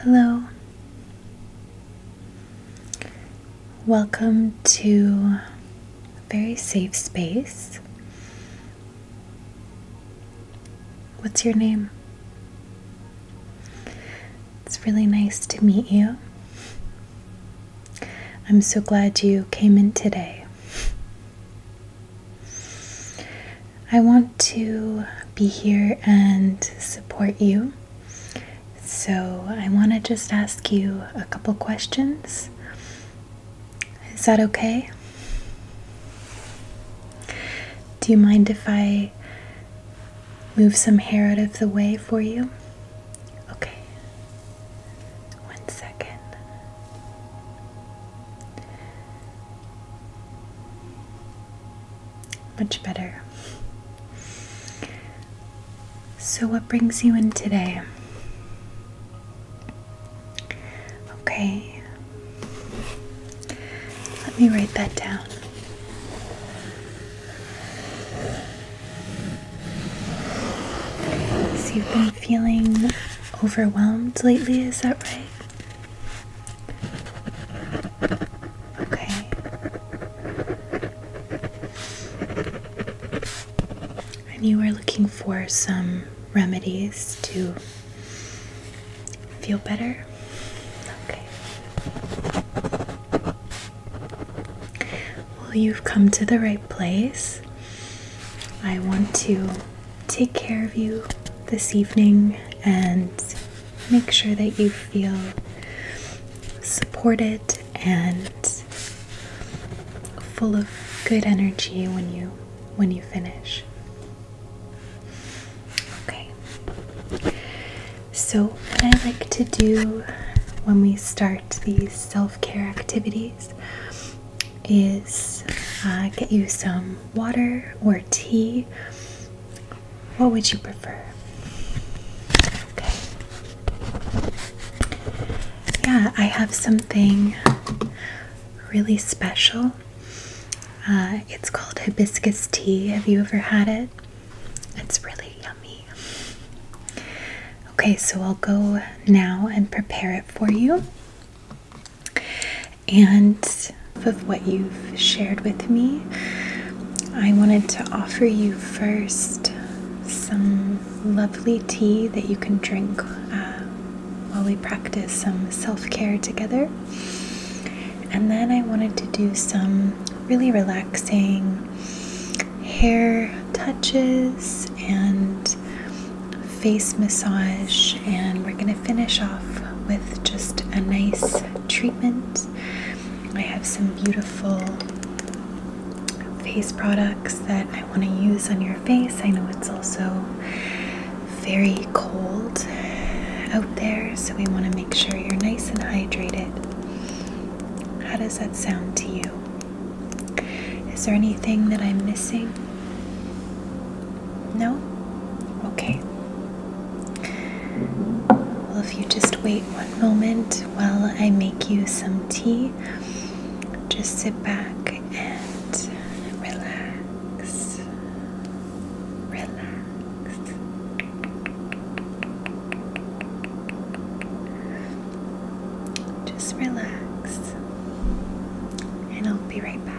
Hello. Welcome to very safe space. What's your name? It's really nice to meet you. I'm so glad you came in today. I want to be here and support you. So, I want to just ask you a couple questions. Is that okay? Do you mind if I move some hair out of the way for you? Okay. One second. Much better. So, what brings you in today? Okay. Let me write that down. you've been feeling overwhelmed lately, is that right? Okay. And you were looking for some remedies to feel better? Okay. Well, you've come to the right place. I want to take care of you this evening and make sure that you feel supported and full of good energy when you when you finish. Okay. So what I like to do when we start these self-care activities is uh, get you some water or tea what would you prefer? Okay. Yeah, I have something really special. Uh, it's called hibiscus tea. Have you ever had it? It's really yummy. Okay, so I'll go now and prepare it for you. And of what you've shared with me, I wanted to offer you first some lovely tea that you can drink uh, while we practice some self care together. And then I wanted to do some really relaxing hair touches and face massage, and we're going to finish off with just a nice treatment I have some beautiful face products that I want to use on your face. I know it's also very cold out there, so we want to make sure you're nice and hydrated. How does that sound to you? Is there anything that I'm missing? No? Okay. Well, if you just wait one moment while I make you some tea, just sit back and relax. Relax. Just relax, and I'll be right back.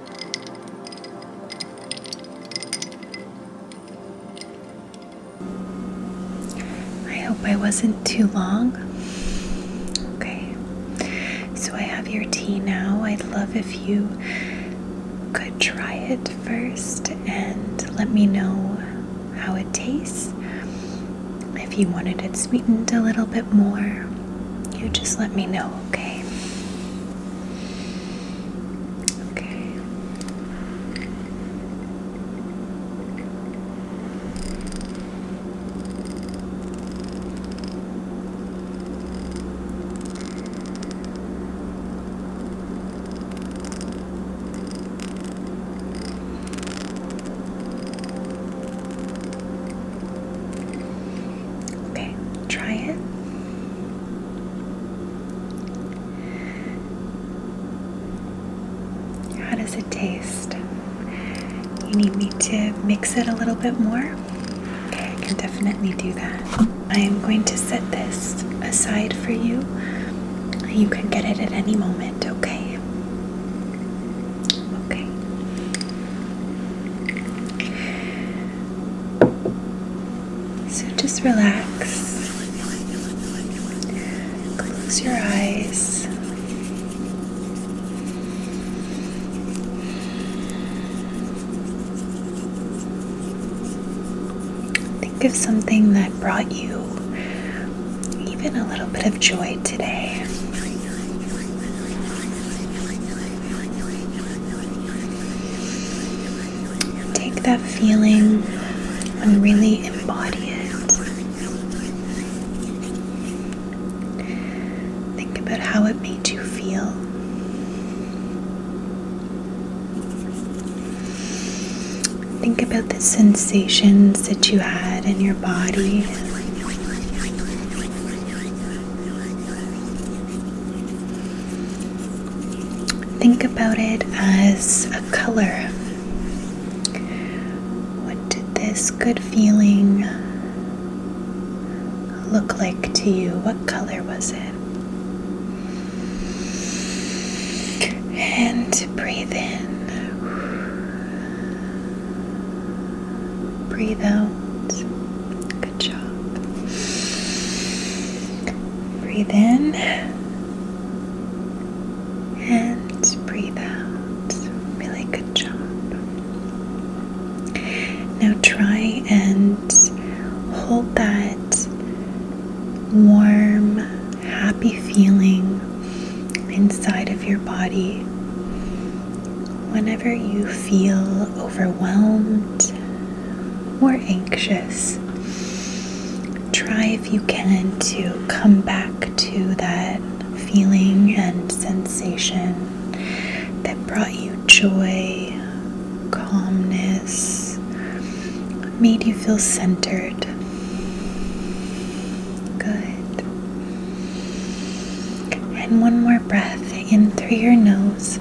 I hope I wasn't too long. Okay, so I have your tea now. I'd love if you could try it first and let me know how it tastes. If you wanted it sweetened a little bit more, you just let me know, okay? Okay. Okay, try it. How does it taste? You need me to mix it a little bit more? Okay, I can definitely do that. I am going to set this aside for you. You can get it at any moment, okay? Okay. So just relax. Close your eyes. Think of something that brought you even a little bit of joy today. Take that feeling and really embody it. Think about how it made you feel. Think about the sensations that you had in your body. Think about it as a color. What did this good feeling look like to you? What color was it? And breathe in. Breathe out. Good job. Breathe in and breathe out. Really good job. Now try and hold that warm, happy feeling inside of your body. Whenever you feel overwhelmed or anxious. Try if you can to come back to that feeling and sensation that brought you joy, calmness, made you feel centered. Good. And one more breath in through your nose.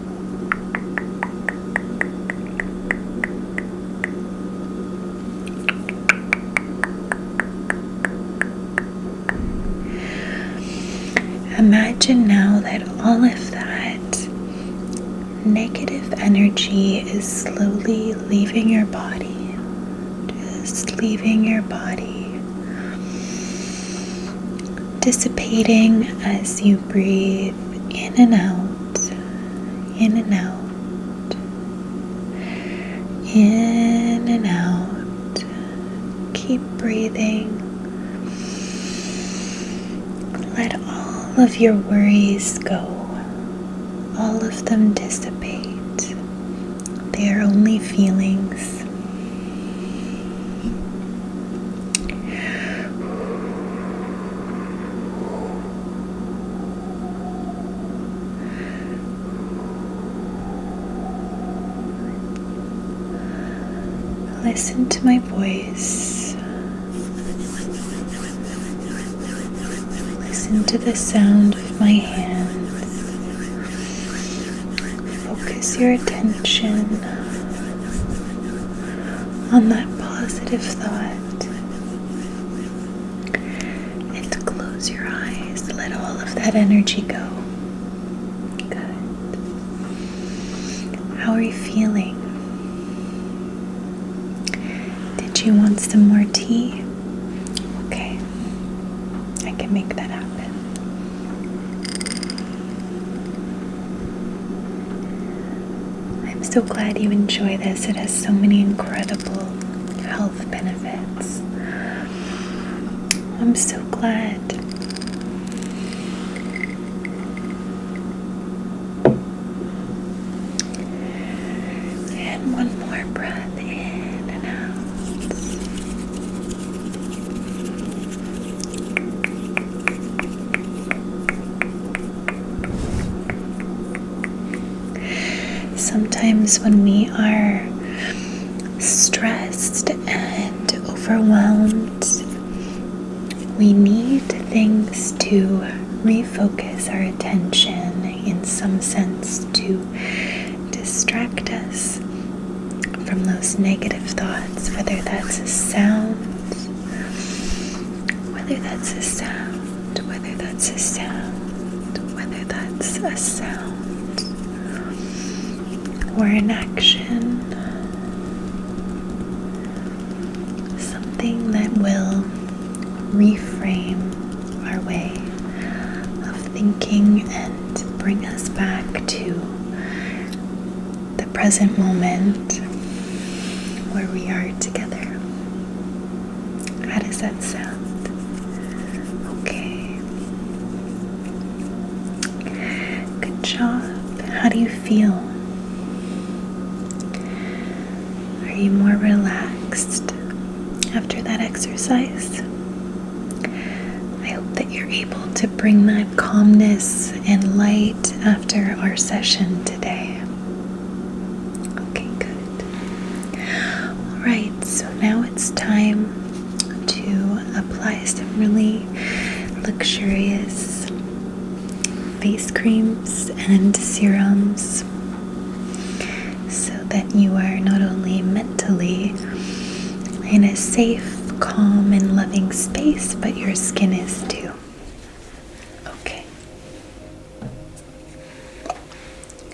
Imagine now that all of that negative energy is slowly leaving your body, just leaving your body, dissipating as you breathe in and out, in and out, in and out. Keep breathing. Let all of your worries go, all of them dissipate. They are only feelings. Listen to my voice. Listen to the sound of my hands. Focus your attention on that positive thought. And close your eyes, let all of that energy go. Good. How are you feeling? Did you want some more tea? Okay, I can make that happen. I'm so glad you enjoy this. It has so many incredible health benefits. I'm so glad. And one more breath in and out. Sometimes, when we are stressed and overwhelmed, we need things to refocus our attention, in some sense, to distract us from those negative thoughts, whether that's a sound, whether that's a sound whether that's a sound, whether that's a sound or an action, something that will reframe our way of thinking and bring us back to the present moment where we are together. How does that sound? Okay. Good job. How do you feel? Are you more relaxed after that exercise? I hope that you're able to bring that calmness and light after our session today. Okay, good. Alright, so now it's time to apply some really luxurious face creams and serums so that you are not only mentally in a safe, calm, and loving space, but your skin is too. Okay.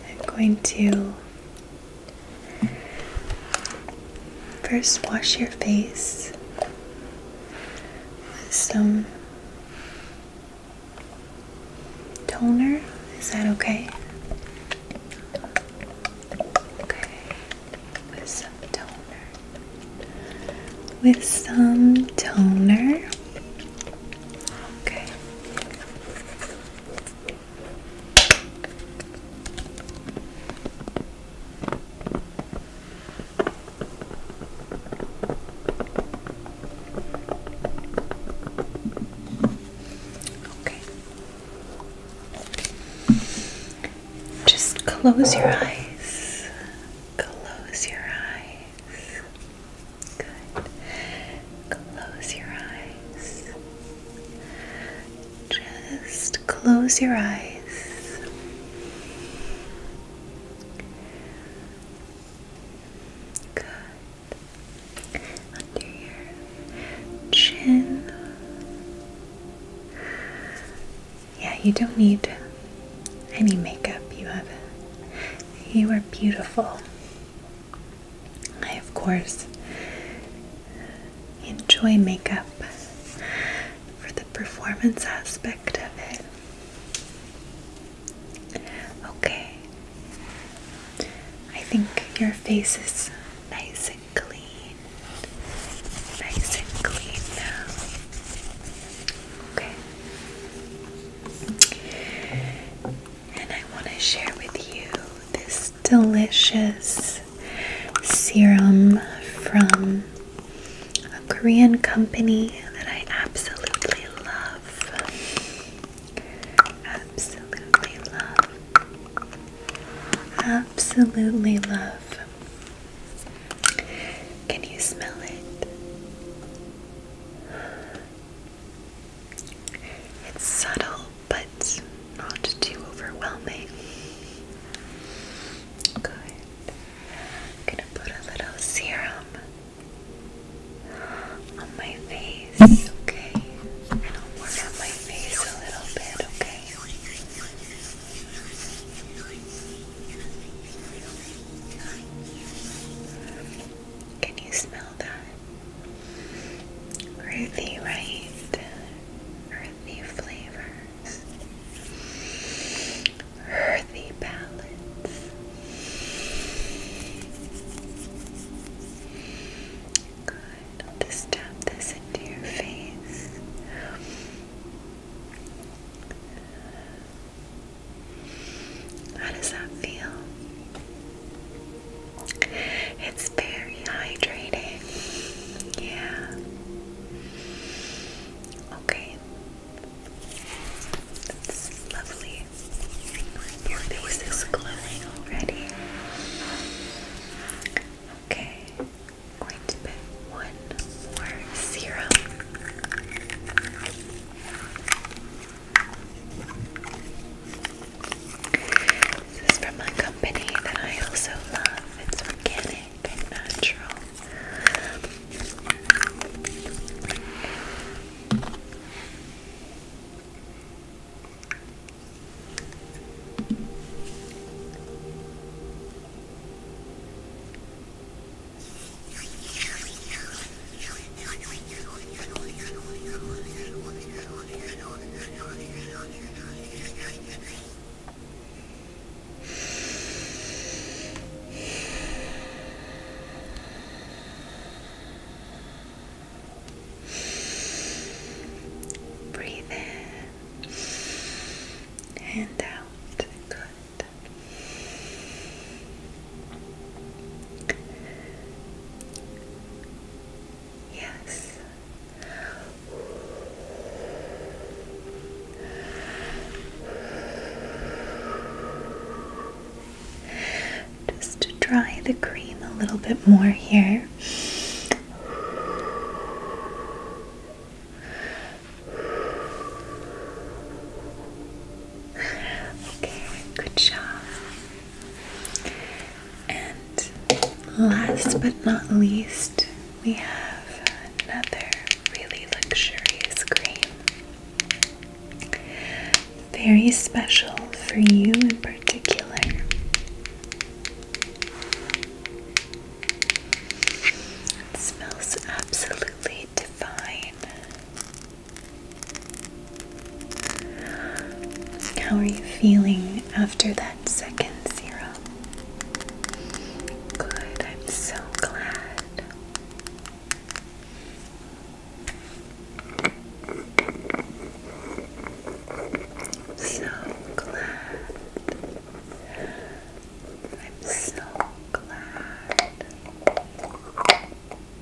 I'm going to first wash your face with some toner. Is that okay? Okay, with some toner. With some toner. Okay. Okay. Just close your eyes. Close your eyes. Close your eyes. Just close your eyes. Good. Under your chin. Yeah, you don't need any makeup. You have you are beautiful. I, of course, enjoy makeup for the performance aspect of it. Okay, I think your face is nice and clean. Nice and clean now. Okay. And I want to share with you this delicious serum from a Korean company that I absolutely love. Absolutely love. Absolutely love. Can you smell it? It's subtle, but not too overwhelming. Good. gonna put a little serum on my face, okay? And I'll work on my face a little bit, okay? Can you smell that? Earthy, right? Earthy flavors. Earthy palettes. Good. just tap this into your face. How does that feel? It's very hydrating. Yeah. Okay. That's lovely. Your face is glowing already. Okay. going to put one this is from a company that I also love. It's organic and natural. Breathe in and out. Good. Yes. Just to dry the cream a little bit more here. Okay, good job. And last but not least, we have another really luxurious cream. Very special for you in particular. smells absolutely divine. How are you feeling after that second zero? Good, I'm so glad. So glad. I'm so glad.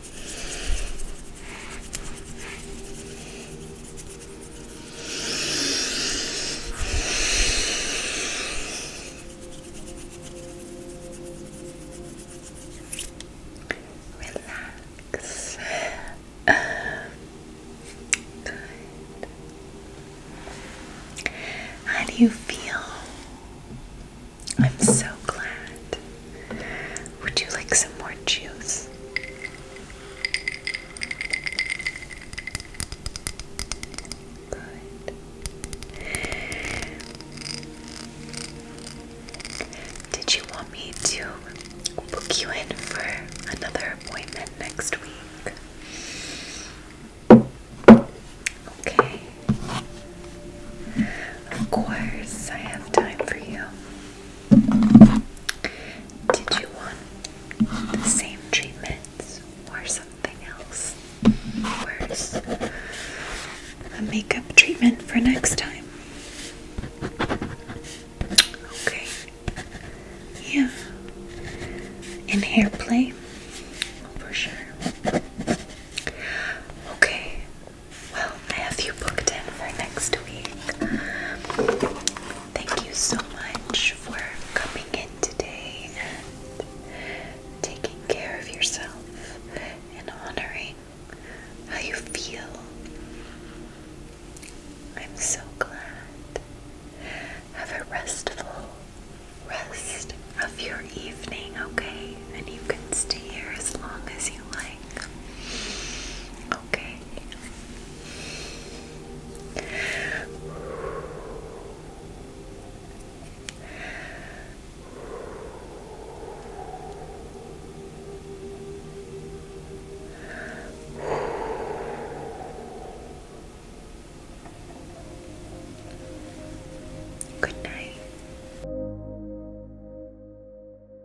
Relax. Good. How do you feel? I'm so glad would you like some more juice? Good. Did you want me to book you in for another appointment next week? Okay. Of course, I have time for you. Did you want the same treatments or something else? Where's a makeup treatment for next time? Okay. Yeah. And hair play? For sure. Okay. Well, I have you booked in for next week. Thank you so much for coming in today and taking care of yourself and honoring how you feel. I'm so glad. Have a restful rest of your evening, okay? And you can stay here as long as you like. Okay. Good night.